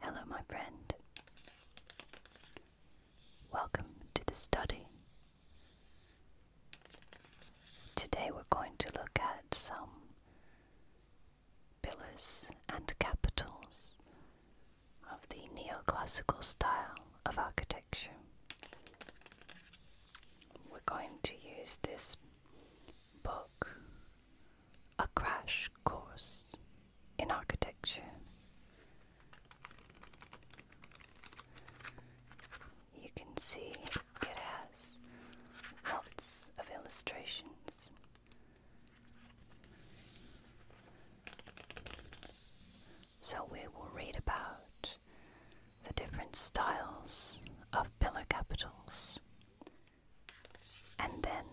Hello, my friend. Welcome to the study. Today we're going to look at some pillars and capitals of the neoclassical style of architecture. We're going to use this book a crash course in architecture. You can see it has lots of illustrations. So, we will read about the different styles of pillar capitals and then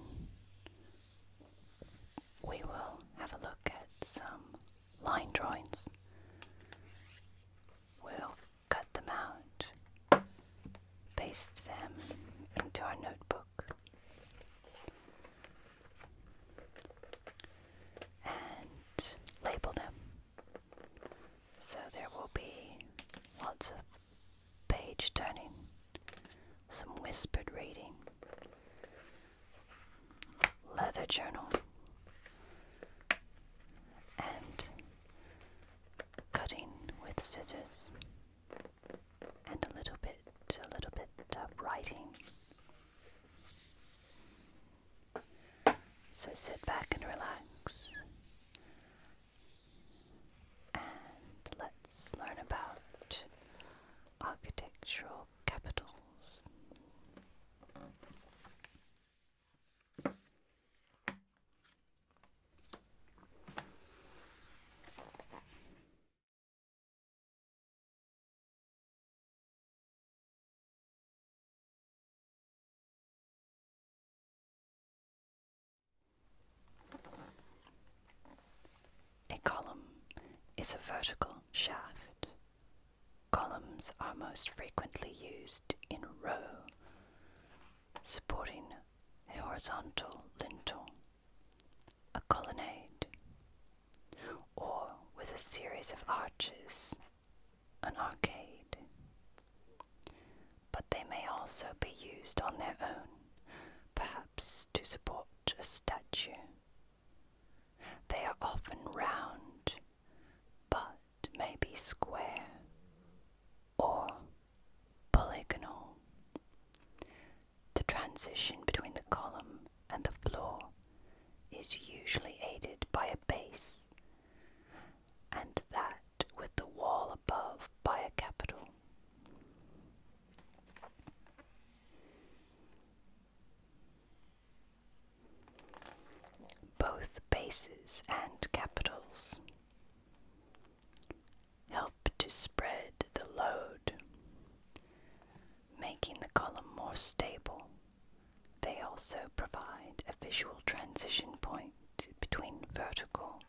we will have a look at some line drawings. We'll cut them out, paste them into our notebook, and label them. So there will be lots of page turning, some whispered reading, leather journal, and cutting with scissors, and a little bit, a little bit of writing. So sit back and relax let's learn about architectural capitals. A column is a vertical shaft. Columns are most frequently used in row, supporting a horizontal lintel, a colonnade, or with a series of arches, an arcade but they may also be used on their own, perhaps to support a statue. They are often round, but may be square or polygonal. The transition between the column and the floor is usually aided by a base, and that with the wall above by a capital. Both bases and capitals help to spread the load, making the column more stable. They also provide a visual transition point between vertical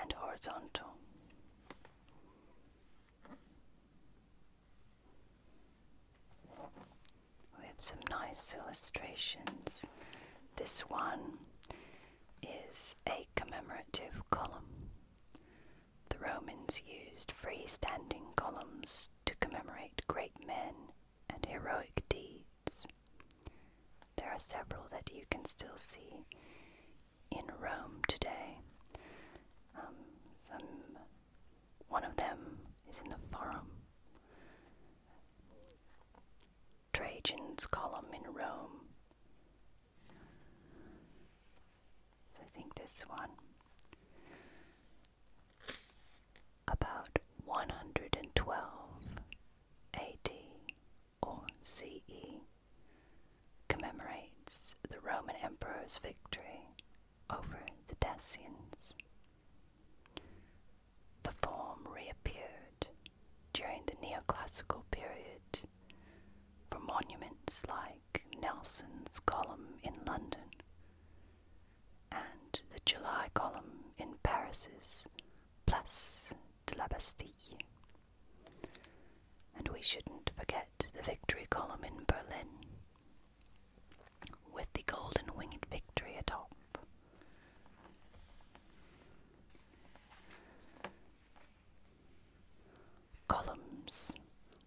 and horizontal. We have some nice illustrations. This one is a commemorative column. The Romans used freestanding columns to commemorate great men and heroic deeds. There are several that you can still see in Rome today. Um, some, one of them is in the Forum. Trajan's column in Rome. I think this one. About 112 AD or CE, commemorates the Roman Emperor's victory over the Dacians. The form reappeared during the neoclassical period for monuments like Nelson's Column in London and the July Column in Paris's Place de la Bastille. And we shouldn't forget the victory column in Berlin, with the golden winged victory atop. Columns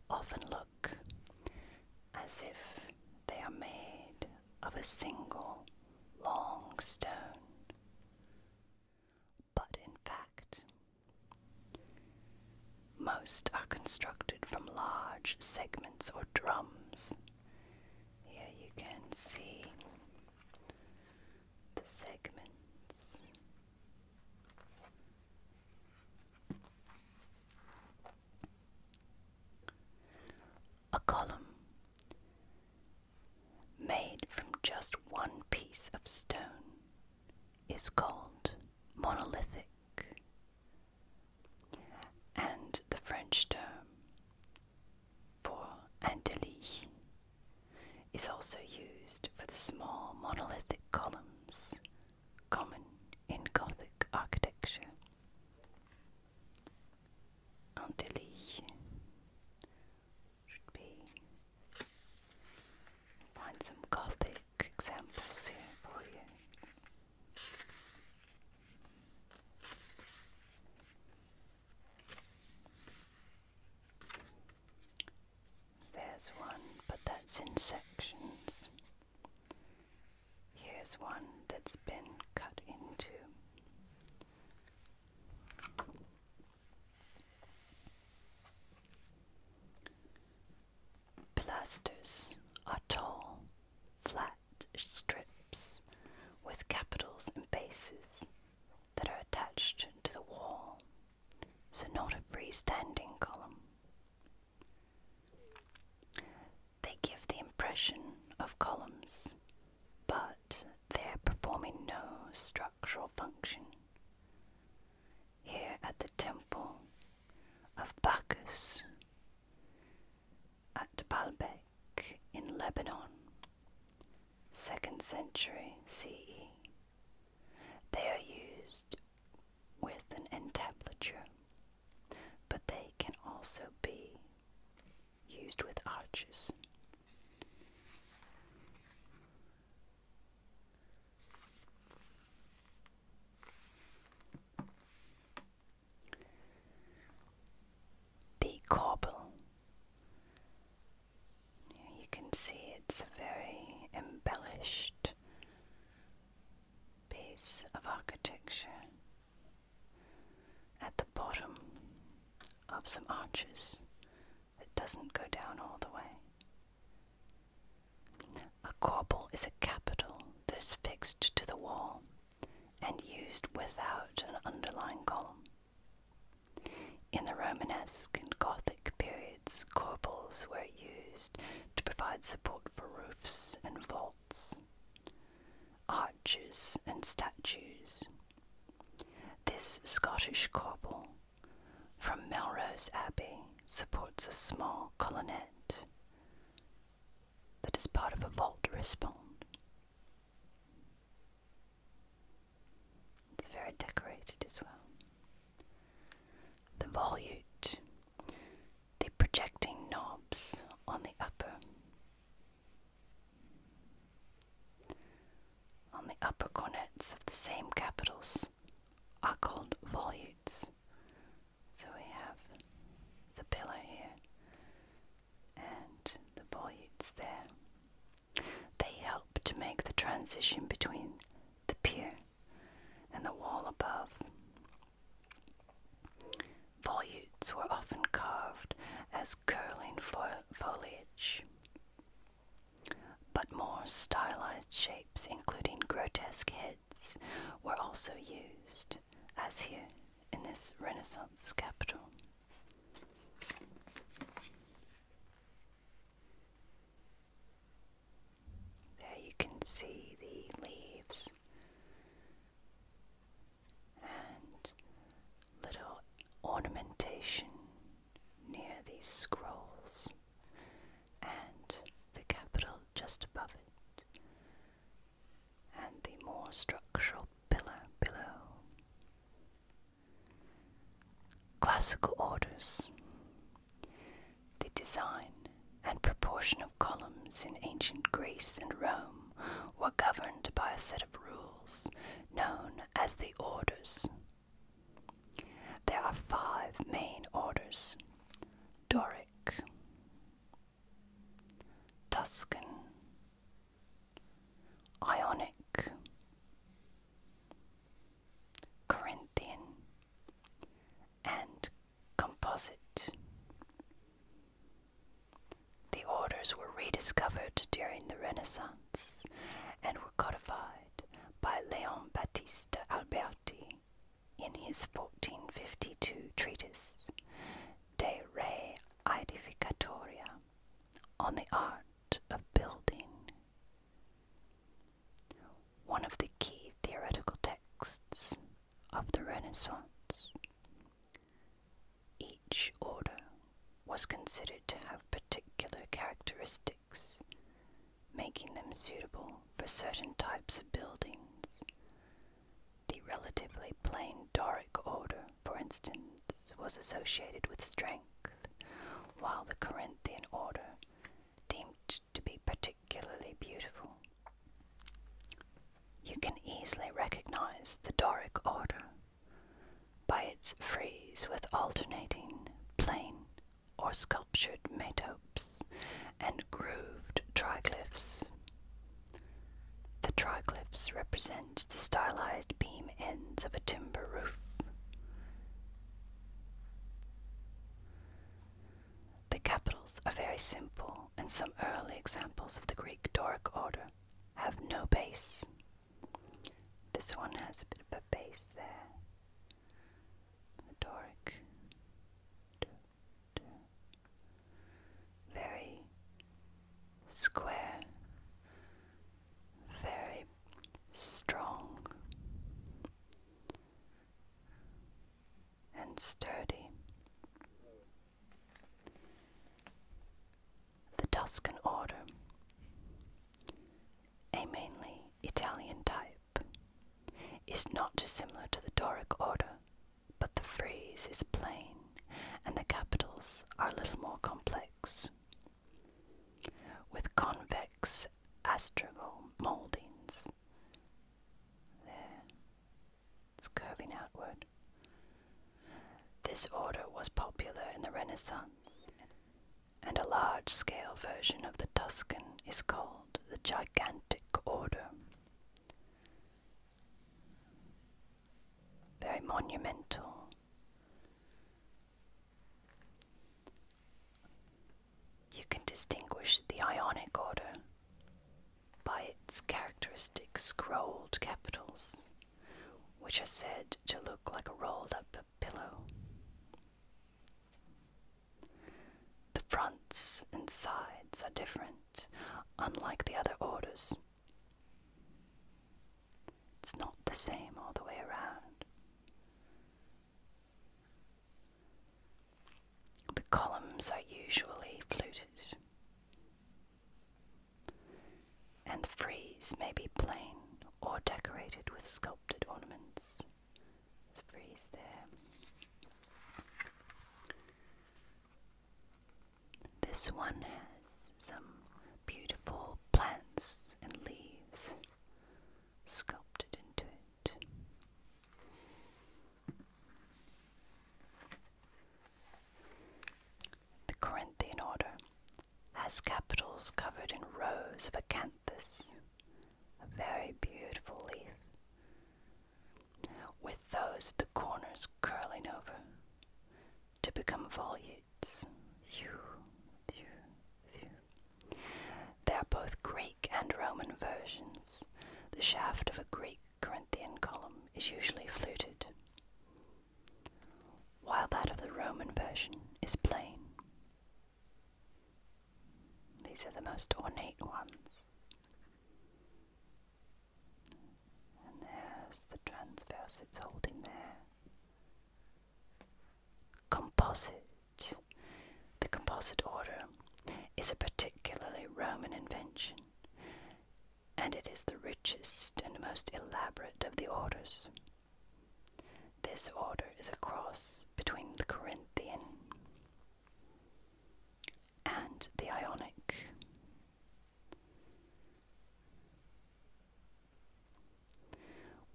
often look as if they are made of a single long stone but in fact. Most are constructed from large segments or drums. Here you can see the segments. A column made from just one piece of stone is called monolithic. And the French term for antilles is also used for the small monolithic columns common in Gothic architecture. Antilles should be find some gothic examples here for you. There's one, but that's in sections. Here's one that's been cut into. Pilasters are tall, flat strips with capitals and bases that are attached to the wall, so not a freestanding column. They give the impression of columns, but they are performing no structure structural function. Here at the temple of Bacchus at Baalbek in Lebanon, 2nd century CE, they are used with an entablature, but they can also be used with arches. The cobble. You can see it's a very embellished piece of architecture at the bottom of some arches it doesn't go down all the way. A corbel is a capital that is fixed to the wall and used without an underlying column. In the Romanesque and Gothic periods, corbels were used to provide support for roofs and vaults, arches and statues. This Scottish corbel from Melrose Abbey supports a small colonnette that is part of a vault respond. It's very decorated as well. The volute, the projecting knobs on the upper. On the upper cornets of the same capitals are called volutes. So we have the pillar here and the volutes there. They help to make the transition between the pier and the wall above. Volutes were often carved as curling foliage. But more stylized shapes, including grotesque heads, were also used, as here in this Renaissance capital. There you can see the leaves and little ornamentation near these scrolls and the capital just above it, and the more structural pillar below. Classical orders. The design and proportion of columns in ancient Greece and Rome were governed by a set of rules known as the orders there are five main orders Doric, Tuscan, Ionic, Corinthian, and Composite. The orders were rediscovered during the Renaissance and were codified by Leon Battista Alberti in his 1452 treatise De Re Edificatoria on the art of building. One of the key theoretical texts of the Renaissance. Each order was considered to have particular characteristics making them suitable for certain types of buildings. The relatively plain Doric order, for instance, was associated with strength, while the Corinthian order deemed to be particularly beautiful. You can easily recognize the Doric order by its frieze with alternating plain or sculptured metopes and grooved triglyphs. The triglyphs represent the stylized beam ends of a timber roof. The capitals are very simple, and some early examples of the Greek Doric order have no base this one has a bit of a base there. Doric. Very square, very strong and sturdy. The Tuscan Order a mainly Italian type, is not similar to the Doric order, but the frieze is plain and the capitals are a little more complex. With convex astragal mouldings. There, it's curving outward. This order was popular in the Renaissance and a large scale version of the Tuscan is called the Gigantic Order. Very monumental. You can distinguish the Ionic Order by its characteristic scrolled capitals, which are said to look like a rolled up pillow. The fronts and sides are different, unlike the other orders. It's not the same all the way around. The columns are usually fluted, and the frieze may be plain or decorated with sculpture sculpted ornaments. There's a frieze there. This one has some beautiful plants and leaves sculpted into it. The Corinthian order has capitals covered in rows of acanthus, a very beautiful leaf, with those the corners curling over to become volutes. They are both Greek and Roman versions. The shaft of a Greek Corinthian column is usually fluted, while that of the Roman version is plain. These are the most ornate ones. And there's the transverse it's holding there. Composite. The composite order is a particularly Roman invention, and it is the richest and most elaborate of the orders. This order is a cross between the Corinthian and the Ionic.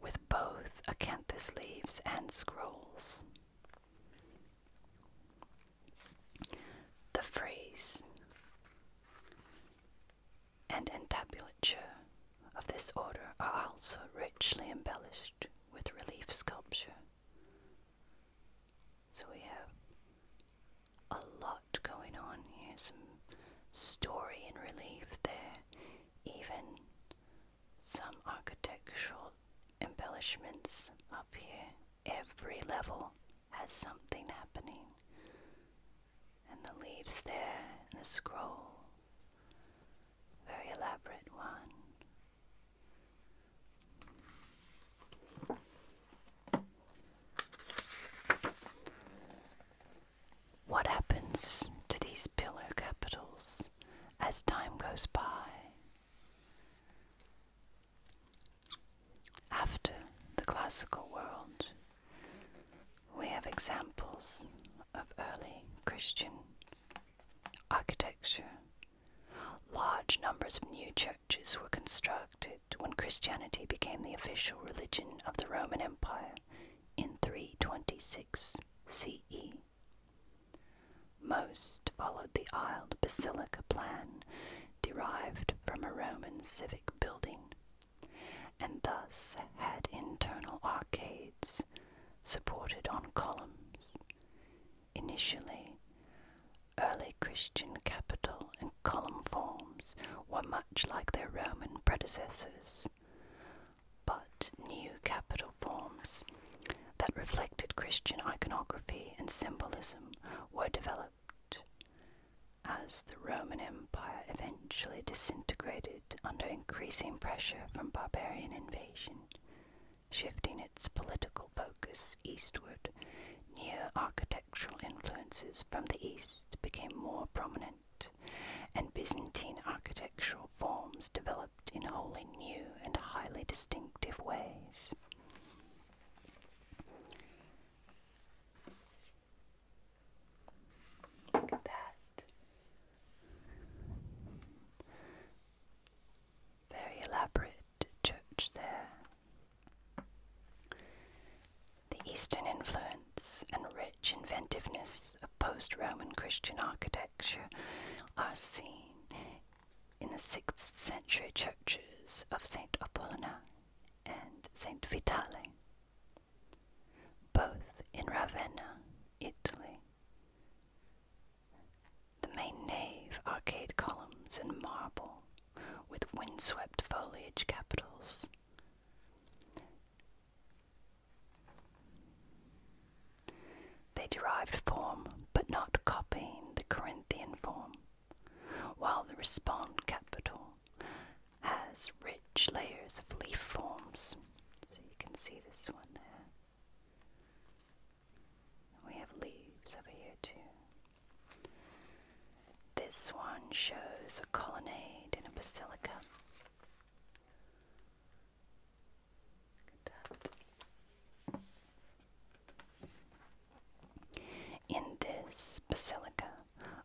With both acanthus leaves and scrolls. The phrase and entablature of this order are also richly embellished with relief sculpture. So we have a lot going on here, some story in relief there, even some architectural embellishments up here. Every level has something happening. And the leaves there, and the scroll, very elaborate one. What happens to these pillar capitals as time goes by? After the classical world, we have examples of early Christian architecture. Large numbers of new churches were constructed when Christianity became the official religion of the Roman Empire in 326 CE. Most followed the aisled basilica plan derived from a Roman civic building, and thus had internal arcades supported on columns. Initially, early Christian capital and column forms were much like their Roman predecessors, but new capital forms that reflected Christian iconography and symbolism were developed. As the Roman Empire eventually disintegrated under increasing pressure from barbarian invasions shifting its political focus eastward. New architectural influences from the east became more prominent, and Byzantine architectural forms developed in wholly new and highly distinctive ways. Look at that. Very elaborate church there. The Eastern influence and rich inventiveness of post Roman Christian architecture are seen in the 6th century churches of St. Apollina and St. Vitali, both in Ravenna, Italy, the main nave, arcade columns in marble with windswept foliage capitals. They derived form, but not copying the Corinthian form, while the respond capital has rich layers of leaf forms. So you can see this one there. We have leaves over here too. This one shows a colonnade in a basilica. Look at that. In this basilica,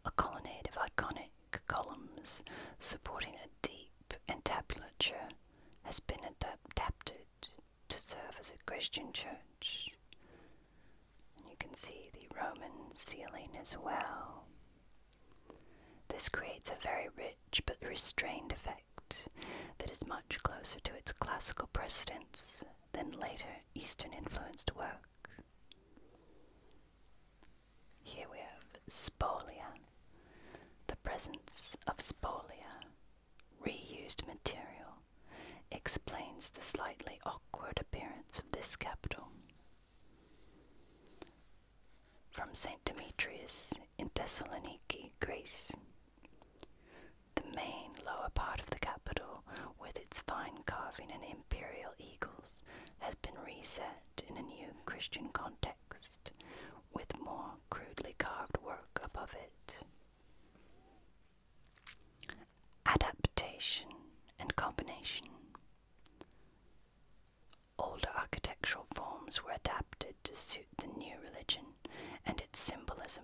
a colonnade of iconic columns supporting a deep entablature has been adapted to serve as a Christian church. you can see the Roman ceiling as well. This creates a very rich but restrained effect that is much closer to its classical precedents than later Eastern influenced work. Here we have spolia, the presence of spolia, reused material, explains the slightly awkward appearance of this capital. From St. Demetrius in Thessaloniki, Greece. The main lower part of the capital, with its fine carving and imperial eagles, has been reset in a new Christian context with more crudely carved work above it. Adaptation and combination. Older architectural forms were adapted to suit the new religion and its symbolism,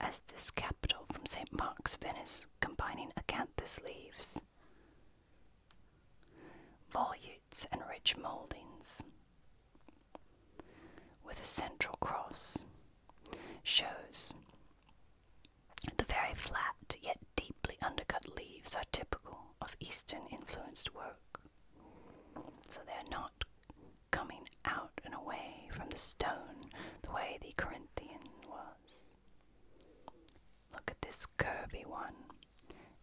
as this capital from St. Mark's, Venice, combining acanthus leaves, volutes, and rich mouldings, with a central cross shows the very flat yet deeply undercut leaves are typical of Eastern influenced work. So they're not coming out and away from the stone the way the Corinthian was. Look at this curvy one,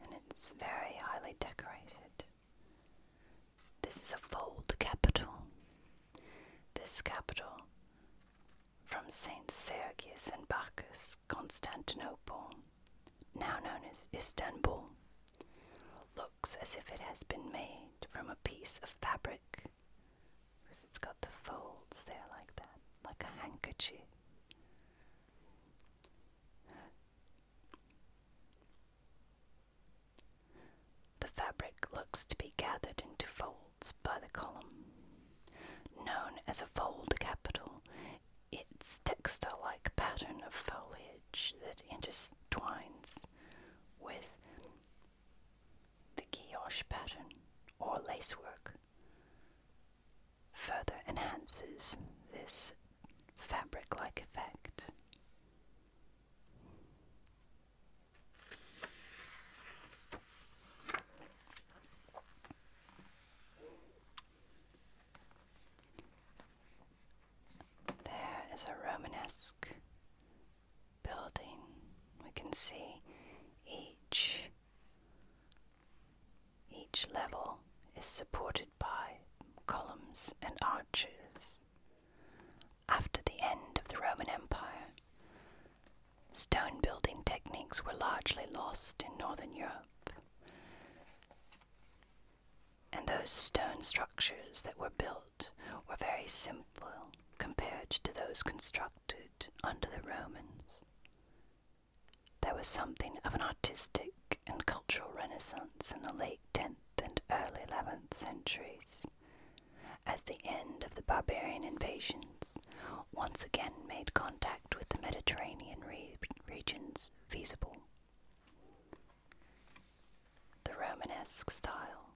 and it's very highly decorated. This is a fold capital. This capital from St. Sergius and Bacchus, Constantinople, now known as Istanbul, looks as if it has been made from a piece of fabric because it's got the folds there like that, like a handkerchief. The fabric looks to be gathered into folds by the column. Known as a fold capital, its textile like pattern of foliage that intertwines with the guilloche pattern or lacework further enhances this fabric-like effect. There is a Romanesque building. We can see each each level is supported by columns and arches. After the end of the Roman Empire, stone building techniques were largely lost in northern Europe, and those stone structures that were built were very simple compared to those constructed under the Romans. There was something of an artistic and cultural renaissance in the late 10th and early 11th centuries, as the end of the barbarian invasions once again made contact with the Mediterranean regions feasible. The Romanesque style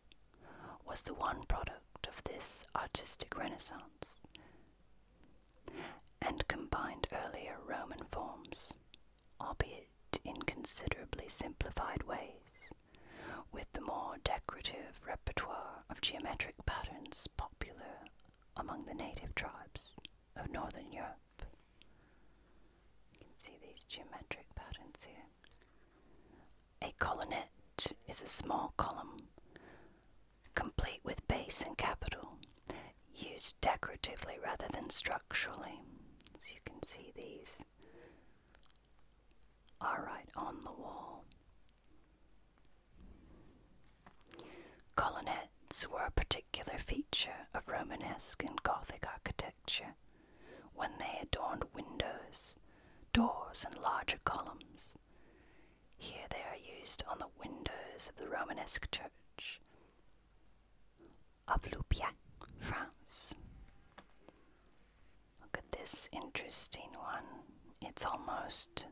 was the one product of this artistic renaissance and combined earlier Roman forms albeit in considerably simplified ways, with the more decorative repertoire of geometric patterns popular among the native tribes of northern Europe. You can see these geometric patterns here. A colonnette is a small column, complete with base and capital, used decoratively rather than structurally. as you can see these are right on the wall. Colonnettes were a particular feature of Romanesque and Gothic architecture when they adorned windows, doors, and larger columns. Here they are used on the windows of the Romanesque church of France. Look at this interesting one. It's almost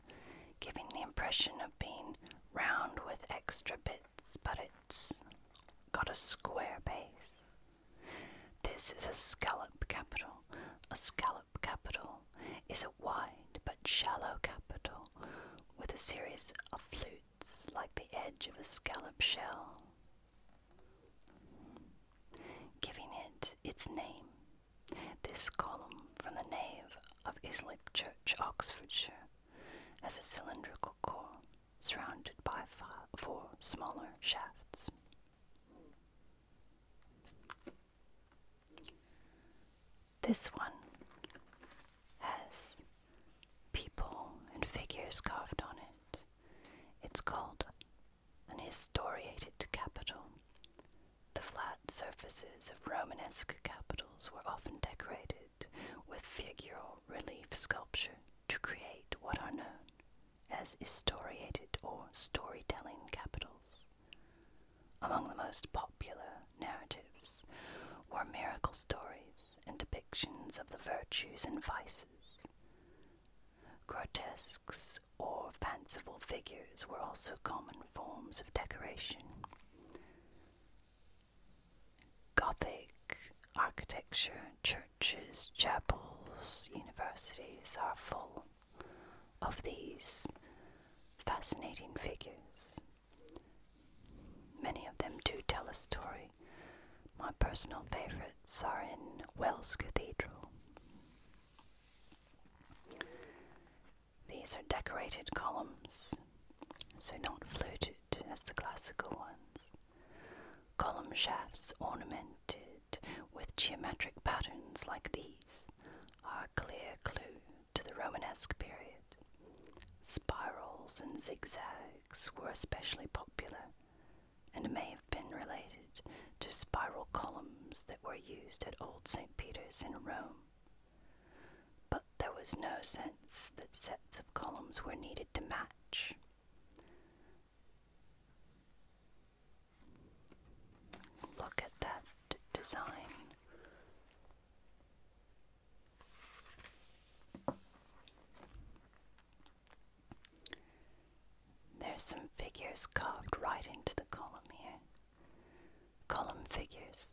giving the impression of being round with extra bits, but it's got a square base. This is a scallop capital. A scallop capital is a wide but shallow capital with a series of flutes like the edge of a scallop shell, giving it its name. This column from the nave of Islip Church, Oxfordshire, has a cylindrical core surrounded by four smaller shafts. This one as people and figures carved on it. It's called an historiated capital. The flat surfaces of Romanesque capitals were often decorated with figural relief sculpture to create what are known as historiated or storytelling capitals. Among the most popular narratives were miracle stories and depictions of the virtues and vices. Grotesques or fanciful figures were also common forms of decoration. Gothic architecture, churches, chapels, universities are full of these fascinating figures. Many of them do tell a story my personal favourites are in Wells Cathedral. These are decorated columns, so not fluted as the classical ones. Column shafts ornamented with geometric patterns like these are a clear clue to the Romanesque period. Spirals and zigzags were especially popular and may have been related to spiral columns that were used at Old St. Peter's in Rome. But there was no sense that sets of columns were needed to match. Look at that design. There's some figures carved right into the column here. Column figures,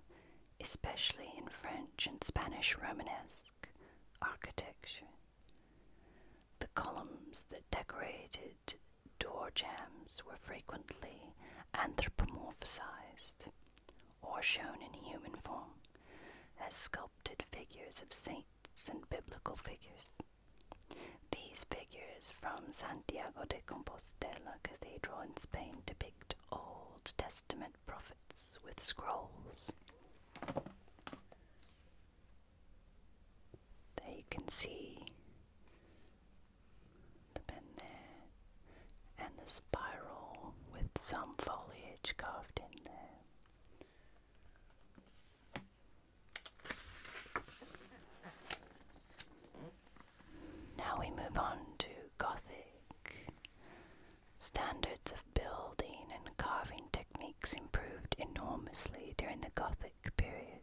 especially in French and Spanish Romanesque architecture. The columns that decorated door jambs were frequently anthropomorphized or shown in human form as sculptures figures of saints and biblical figures. These figures from Santiago de Compostela Cathedral in Spain depict Old Testament prophets with scrolls. There you can see the pen there and the spiral with some foliage carved in there. Now we move on to Gothic. Standards of building and carving techniques improved enormously during the Gothic period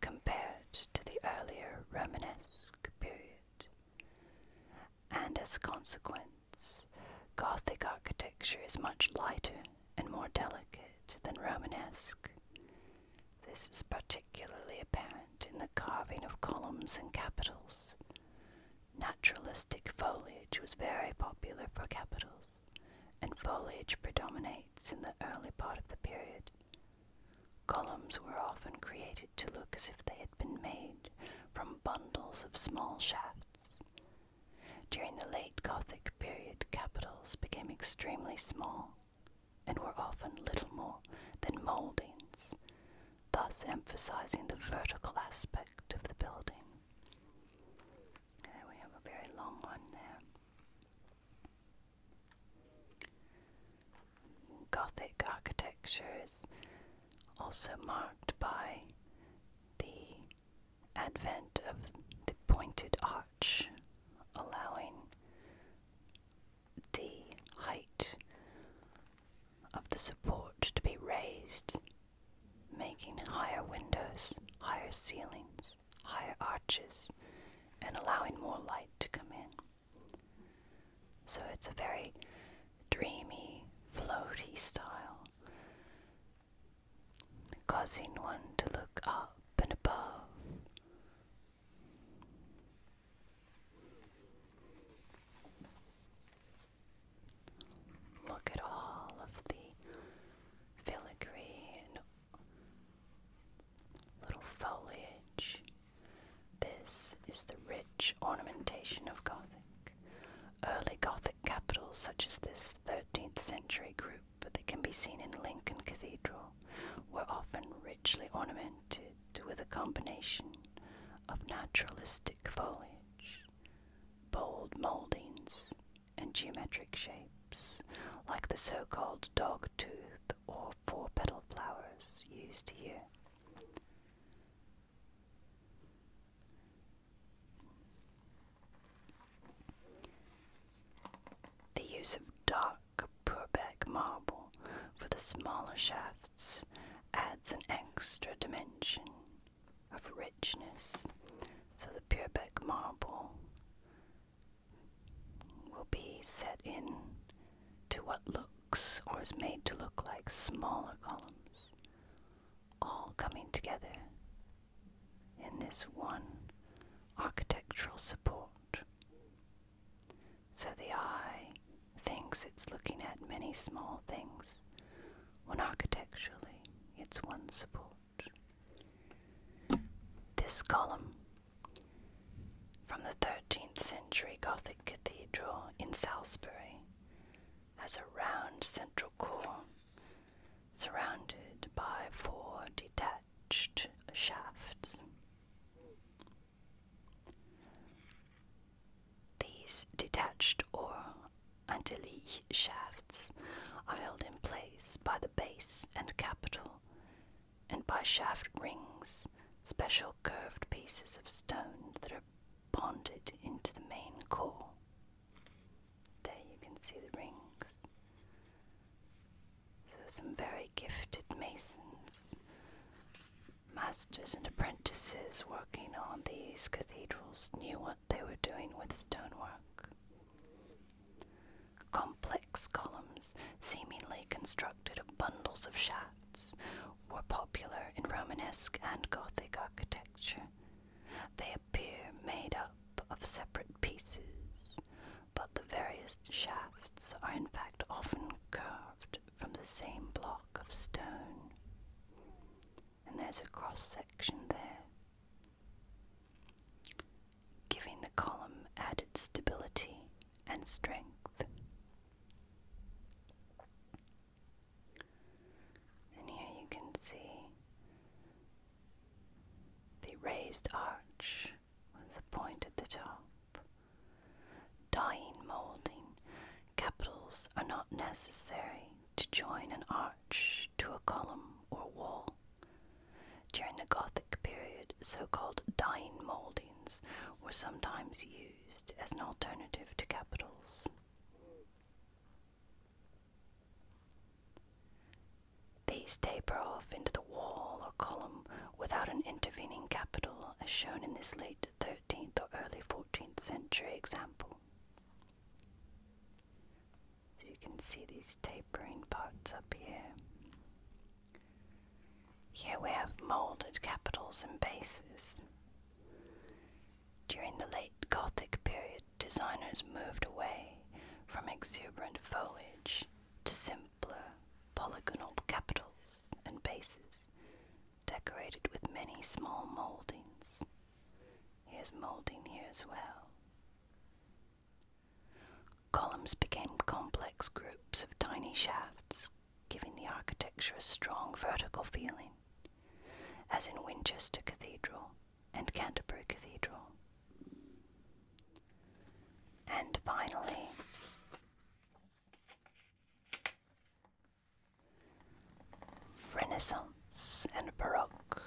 compared to the earlier Romanesque period, and as a consequence, Gothic architecture is much lighter and more delicate than Romanesque. This is particularly apparent in the carving of columns and capitals. Naturalistic foliage was very popular for capitals, and foliage predominates in the early part of the period. Columns were often created to look as if they been made from bundles of small shafts. During the late Gothic period, capitals became extremely small and were often little more than mouldings, thus emphasizing the vertical aspect of the building. we have a very long one there. Gothic architecture is also marked by the advent of the pointed arch, allowing the height of the support to be raised, making higher windows, higher ceilings, higher arches, and allowing more light to come in. So it's a very dreamy, floaty style, causing one to look up and above. Look at all of the filigree and little foliage. This is the rich ornamentation of Gothic. Early Gothic capitals such as this 13th century group that can be seen in Lincoln Cathedral were often richly ornamented with a combination of naturalistic foliage, bold mouldings, and geometric shapes, like the so called dog tooth or four petal flowers used here. The use of dark Purbeck marble for the smaller shafts adds an extra dimension of richness. So the Purbeck marble will be set in to what looks or is made to look like smaller columns all coming together in this one architectural support. So the eye thinks it's looking at many small things, when architecturally it's one support. This column from the 13th century Gothic cathedral in Salisbury has a round central core surrounded by four detached shafts. These detached or antilly shafts are held in place by the base and capital and by shaft rings, special curved pieces of stone that are bonded into the main core. There you can see the rings. So, some very gifted masons, masters, and apprentices working on these cathedrals knew what they were doing with stonework. Complex columns, seemingly constructed of bundles of shafts, were popular in Romanesque and Gothic architecture. They appear made up of separate pieces, but the various shafts are in fact often curved from the same block of stone. And there's a cross section there, giving the column added stability and strength. And here you can see the raised arch with a point at the top. Dying molding capitals are not necessary to join an arch to a column or wall. During the Gothic period, so called dying moldings were sometimes used as an alternative to capitals. These taper off into the wall or column without an intervening capital, as shown in this late 13th or early 14th century example. So you can see these tapering parts up here. Here we have moulded capitals and bases. During the late Gothic period, designers moved away from exuberant foliage to simpler polygonal capitals and bases decorated with many small mouldings. Here's moulding here as well. Columns became complex groups of tiny shafts, giving the architecture a strong vertical feeling, as in Winchester Cathedral and Canterbury Cathedral. And finally, Renaissance and Baroque.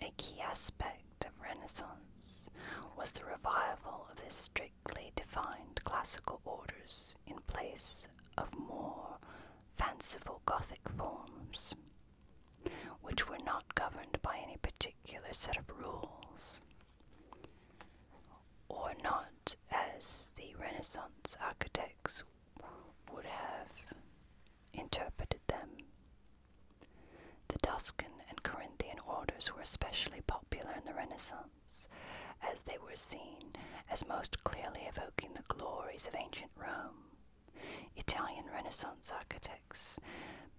A key aspect of Renaissance was the revival of the strictly defined classical orders in place of more fanciful Gothic forms, which were not governed by any particular set of rules, or not as the Renaissance architects would have interpreted them. The Tuscan and Corinthian orders were especially popular in the Renaissance as they were seen, as most clearly evoking the glories of ancient Rome. Italian Renaissance architects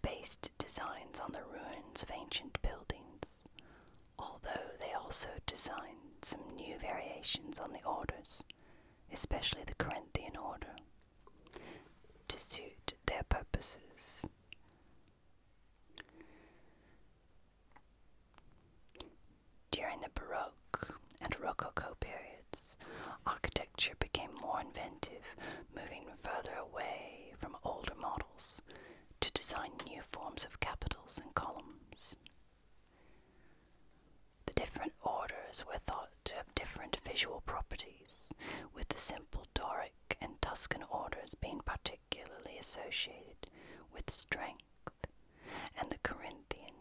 based designs on the ruins of ancient buildings, although they also designed some new variations on the orders, especially the Corinthian order, to suit their purposes. During the Baroque and Rococo periods, architecture became more inventive, moving further away from older models to design new forms of capitals and columns. The different orders were thought to have different visual properties, with the simple Doric and Tuscan orders being particularly associated with strength and the Corinthian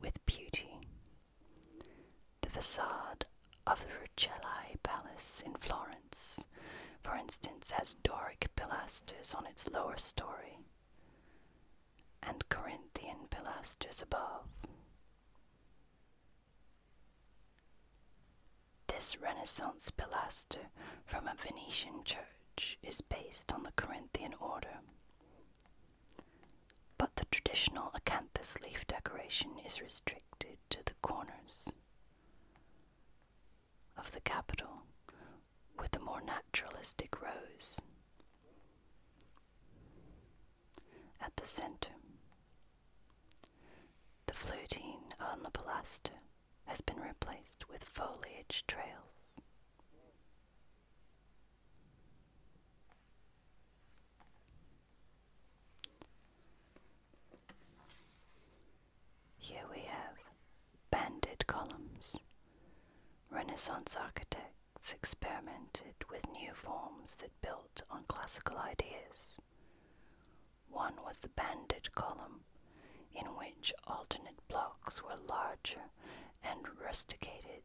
with beauty. The facade of the Rucellai Palace in Florence, for instance, has Doric pilasters on its lower story and Corinthian pilasters above. This Renaissance pilaster from a Venetian church is based on the Corinthian order. But the traditional acanthus leaf decoration is restricted to the corners of the capital with a more naturalistic rose at the center. The fluting on the pilaster has been replaced with foliage trails. Here we have banded columns. Renaissance architects experimented with new forms that built on classical ideas. One was the banded column in which alternate blocks were larger and rusticated,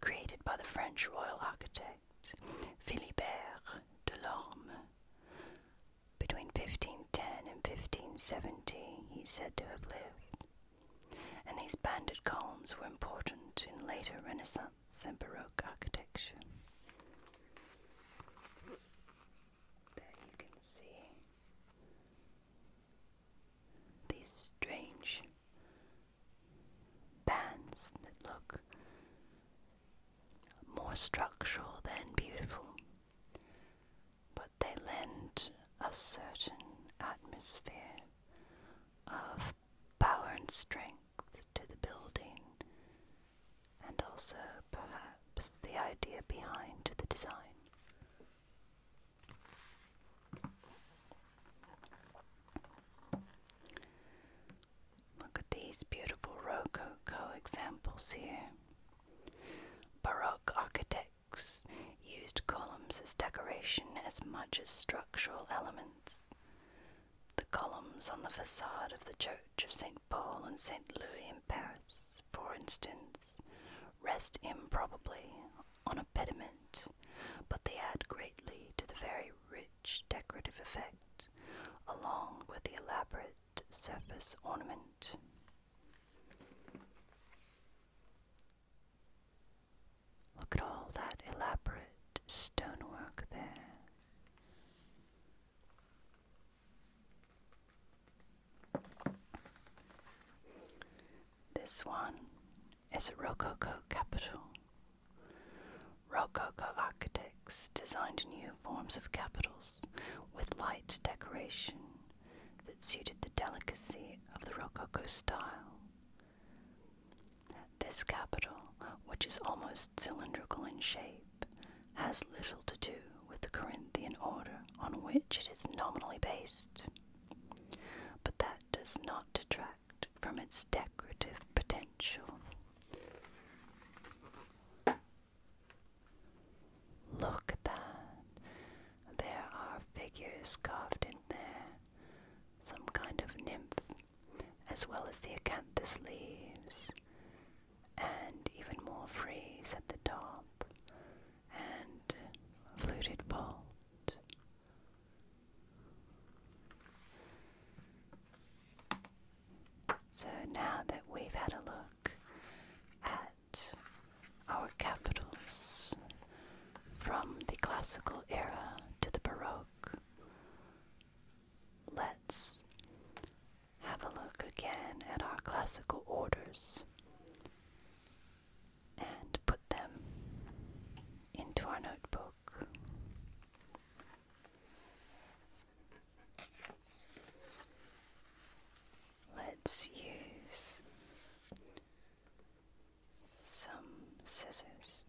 created by the French royal architect Philibert Delorme. Between 1510 and 1570, he is said to have lived, and these banded columns were important in later Renaissance and Baroque architecture that you can see these strange bands that look more structural than beautiful, but they lend a certain atmosphere of power and strength to the building, and also perhaps the idea behind the design. Look at these beautiful Rococo examples here. Baroque architects used columns as decoration as much as structural elements. The columns on the facade of the Church of St. Paul and St. Louis in Paris, for instance, rest improbably on a pediment, but they add greatly to the very rich decorative effect, along with the elaborate surface ornament. Look at all that elaborate stonework there. This one is a Rococo capital. Rococo architects designed new forms of capitals with light decoration that suited the delicacy of the Rococo style. This capital, which is almost cylindrical in shape, has little to do with the Corinthian order on which it is nominally based. But that does not detract from its decorative potential. Look at that. There are figures carved in there, some kind of nymph, as well as the acanthus leaves, and even more frieze at the top, and fluted bolt. So now that we've had a look at our capitals from the classical era to the Baroque, let's have a look again at our classical orders and put them into our notebook. Let's use some scissors.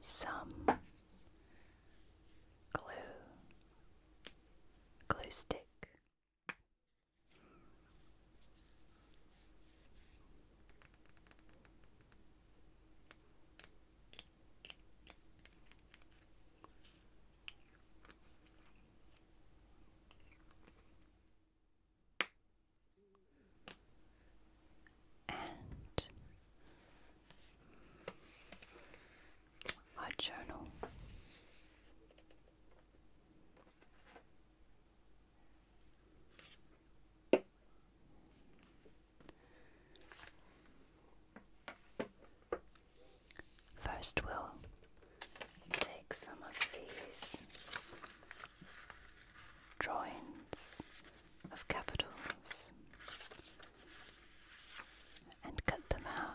Some glue, glue stick. And my journal. First, we'll take some of these drawings of capitals and cut them out.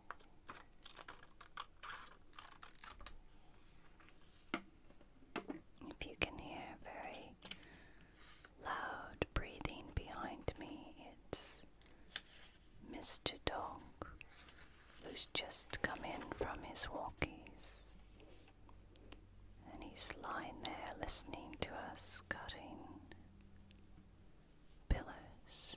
If you can hear very loud breathing behind me, it's Mr. Dog, who's just come in from his walkies. And he's lying there listening to us cutting pillows.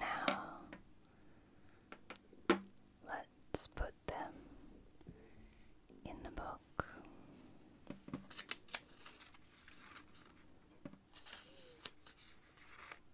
Now let's put them in the book.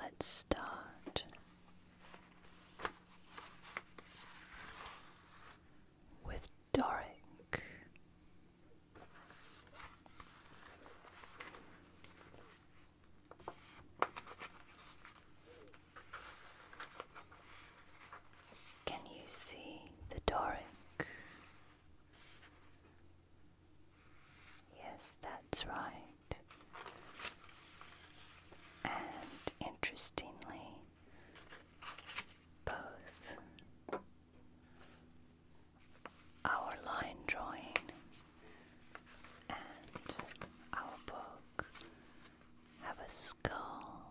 Let's start with Doric. Can you see the Doric Yes, that's right. And interestingly, both our line drawing and our book have a skull.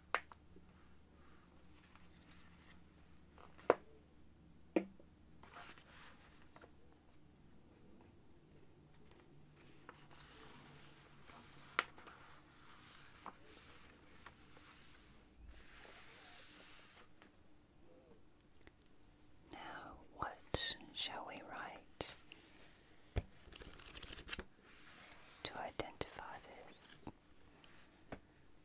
Now, what shall we write to identify this?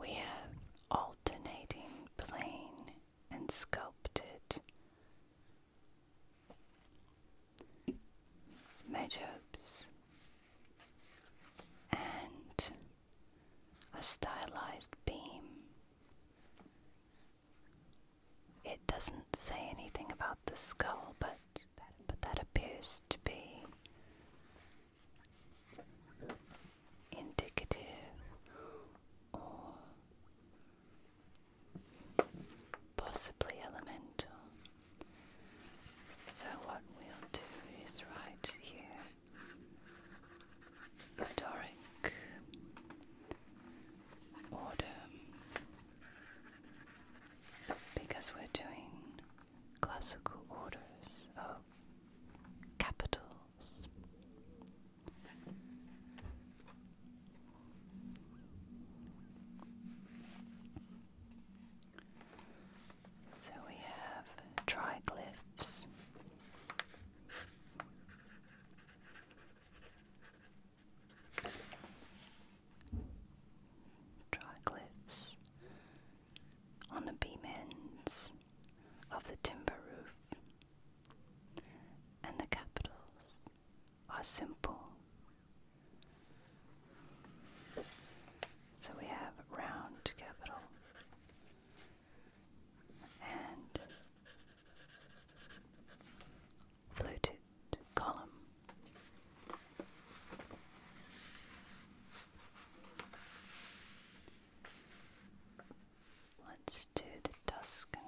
We have alternating plain and sculpted. Measures and a stylized beam it doesn't say anything about the skull, but that, but that appears to be indicative or possibly elemental. So, what we'll do is write here, Doric autumn because we're doing classical orders of capitals. So we have triglyphs. Dry triglyphs on the beam ends of the timber roof, and the capitals are simple. So we have round capital and fluted column. Let's do the Tuscan.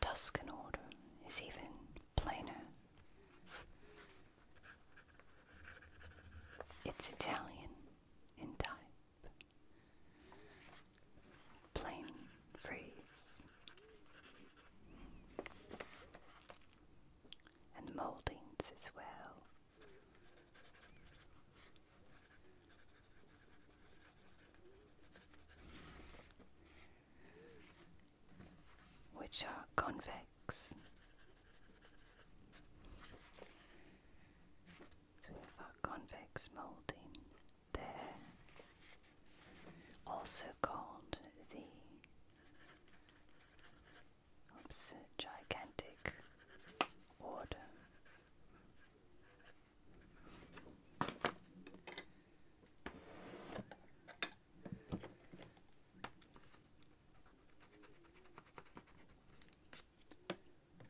Tuscan order is even plainer. It's Italian in type. Plain freeze. And moldings as well. Which are convex so we have our convex moulding there, also called the gigantic order.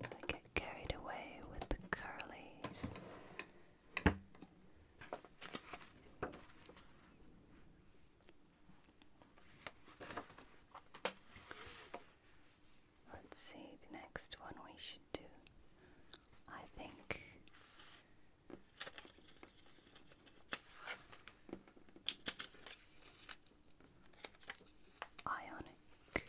I get carried away with the curlies. Let's see the next one we should do. I think Ionic.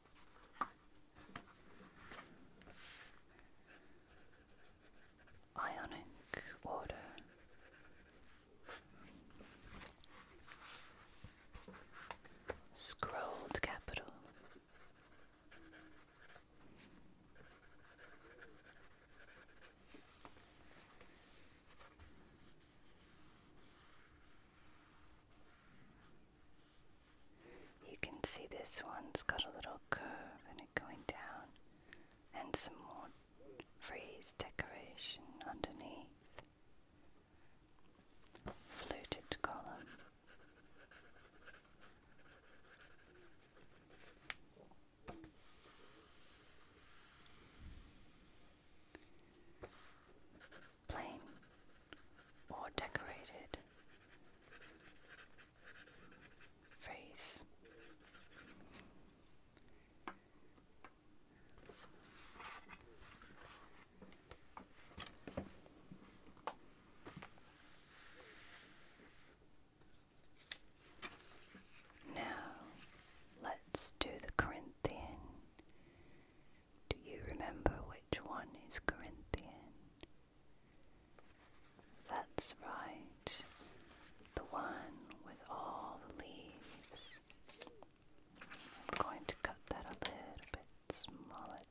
Ionic order. Scrolled capital. You can see this one's got a little curve and it going down, and some more frieze decoration underneath. Fluted column plain or decorated face. Now let's do the Corinthian do you remember which one is Corinthian? That's right, the one with all the leaves. I'm going to cut that a little bit smaller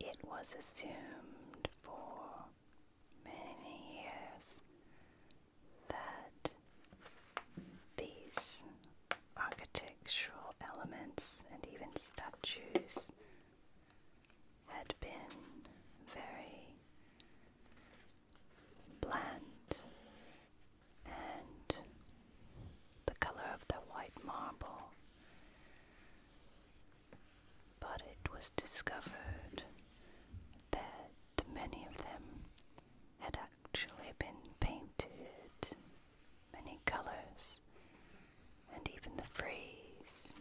it was assumed for many years that these architectural elements and even statues had been very bland and the color of the white marble. But it was discovered that many of them had actually been painted many colours and even the phrase.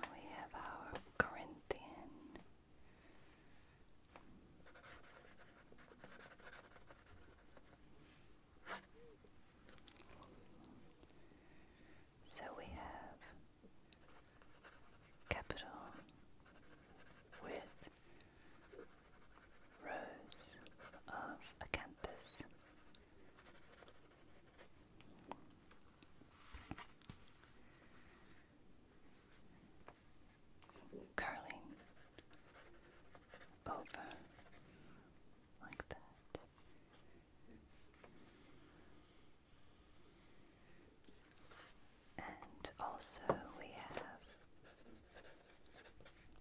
Now we have our Corinthian. So we have capital with rows of acanthus curling over like that. And also we have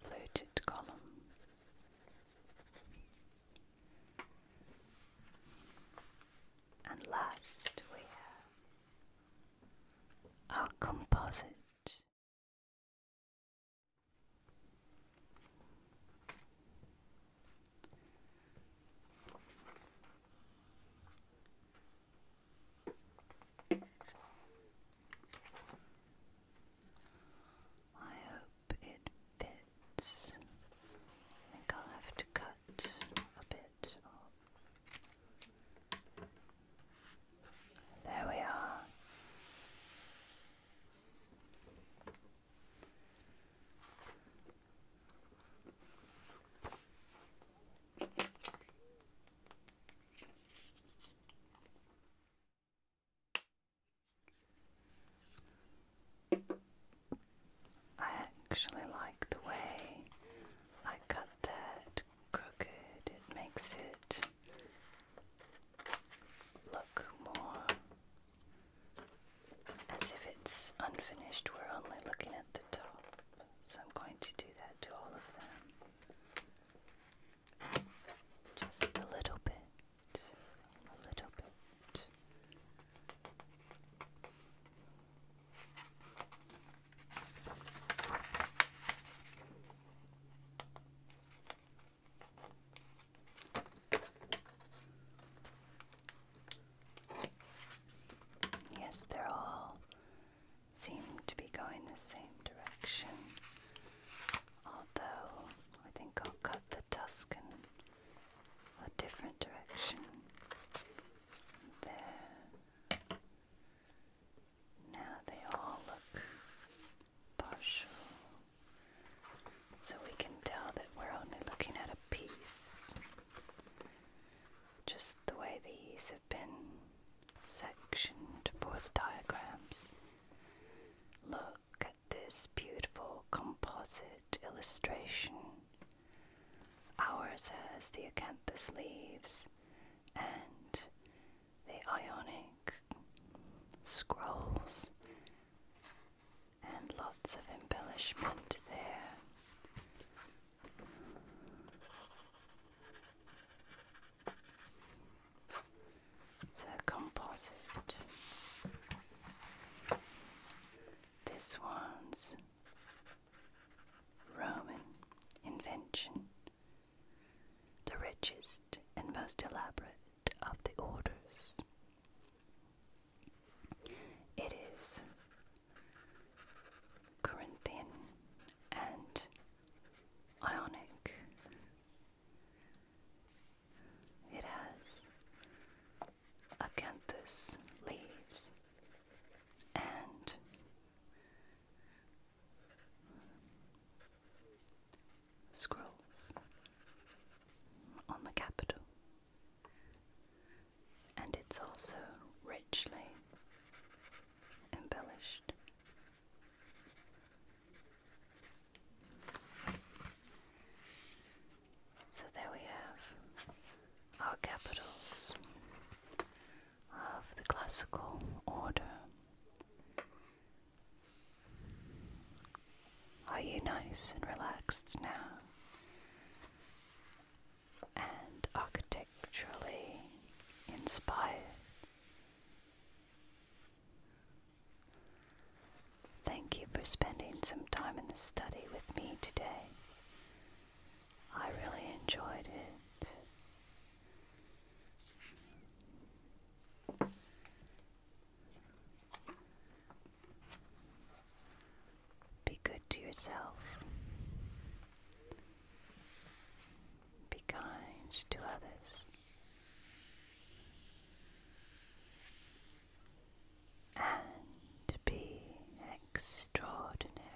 fluted column. And last we have our composite I hope it fits. I think I'll have to cut a bit there we are. I actually like the way I cut that crooked, it makes it look more as if it's unfinished. We're only looking at the top, so I'm going to do that to all of them. Just a little bit, a little bit. Yes, they're all seem to be going the same direction. Although, I think I'll cut the tusk in a different direction. There. Now they all look partial. So we can tell that we're only looking at a piece. Just the way these have been sectioned for the diagrams. Look at this beautiful composite illustration. Ours has the acanthus leaves and the Ionic scrolls, and lots of embellishment there. So composite. This one's Roman invention the richest and most elaborate of the orders. It is Corinthian and Ionic. It has acanthus leaves and scrolls on the capital, and it's also richly embellished. So there we have our capitals of the classical order are you nice and relaxed now? And architecturally inspired? Thank you for spending some time in the study with me today. I really enjoyed it. Be good to yourself. Be kind to others. And be extraordinary.